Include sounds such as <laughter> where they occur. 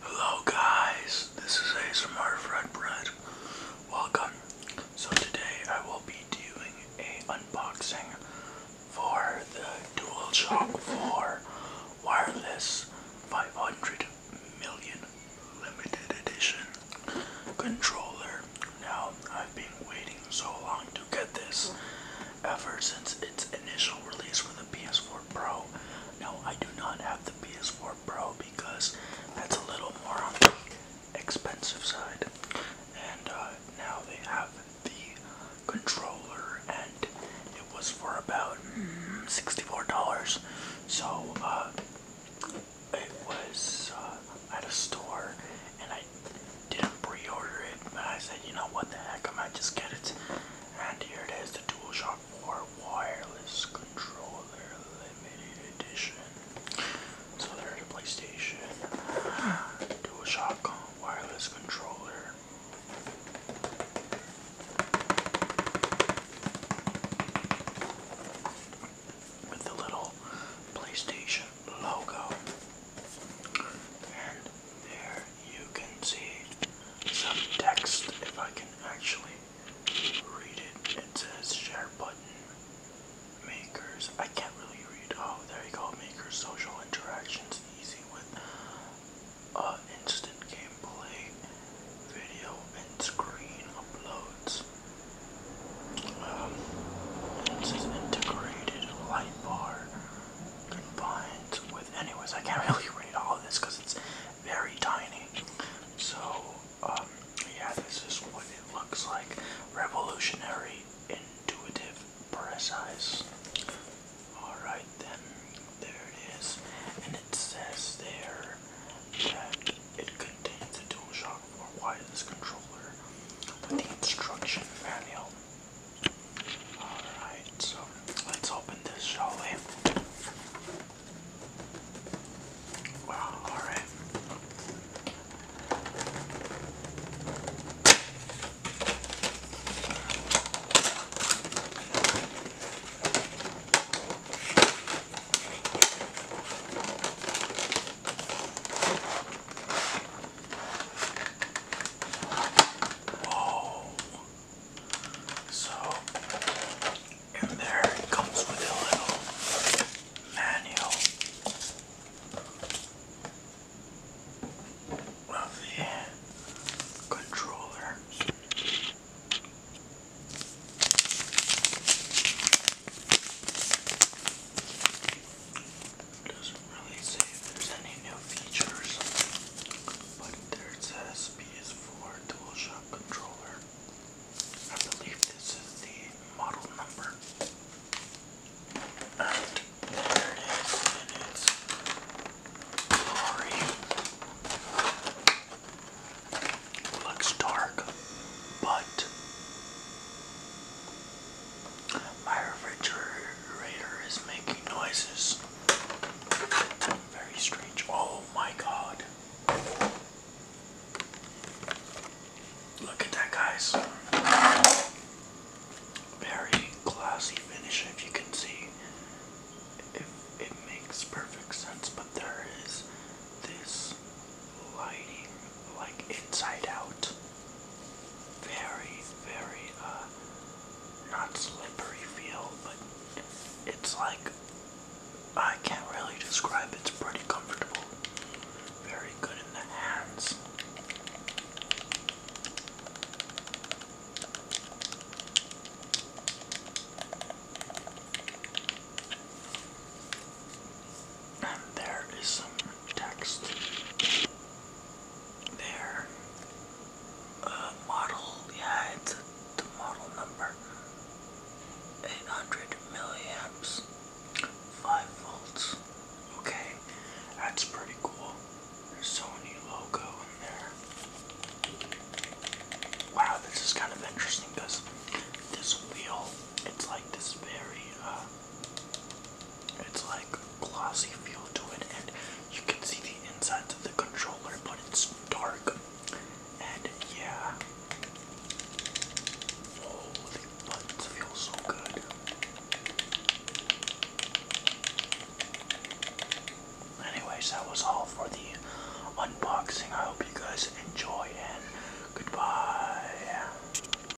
Hello guys, this is ASMR Fred Bread. Welcome. So today I will be doing a unboxing for the DualShock 4 Wireless 500 Million Limited Edition controller. Now I've been waiting so long to get this ever since its initial release for the PS4 Pro. No, I do not have the PS4 Pro because that's a little more on the expensive side. And uh, now they have the controller, and it was for about mm, $64. So, uh, it was uh, at a store, and I didn't pre order it, but I said, you know what the heck, I might just get it. And here it is, the DualShock 4 Wireless Controller Limited Edition. So there's a PlayStation, <gasps> DualShock Wireless Controller. With the little PlayStation logo. And there you can see some text if I can actually read it. It says share button makers. I can't really read. Oh, there you go. Makers social interactions easy with uh, instant gameplay, video, and screen uploads. Um, this integrated light bar combined with anyways I can't <laughs> really read all of this because it's very tiny so um, yeah this is what it looks like revolutionary intuitive precise alright then there it is and it says there that it contains a DualShock 4 wireless controller with the instruction manual Alright, so let's open this, shall we? Wow, alright. So, in there it comes with a little manual of the controller. It doesn't really say if there's any new features, but there it says PS4 DualShock controller. I believe this is the model number. And there it is in its glory. Looks dark, but my refrigerator is making noises. Very strange. Oh my god. Look at that, guys. Very classy finish, if you can see. If it makes perfect sense, but there is this lighting like inside out very, very, uh, not slippery feel, but it's like, I can't really describe, it's pretty comfortable, very good in the hands. And there is some text their uh, model, yeah, it's the model number 800 milliamps, 5 volts. Okay, that's pretty cool. There's Sony logo in there. Wow, this is kind of interesting because this wheel, it's like this very, uh, it's like glossy feel to it, and you can see the insides of the controller, but it's dark. And yeah, oh, the buttons feel so good. Anyways, that was all for the unboxing. I hope you guys enjoy and goodbye.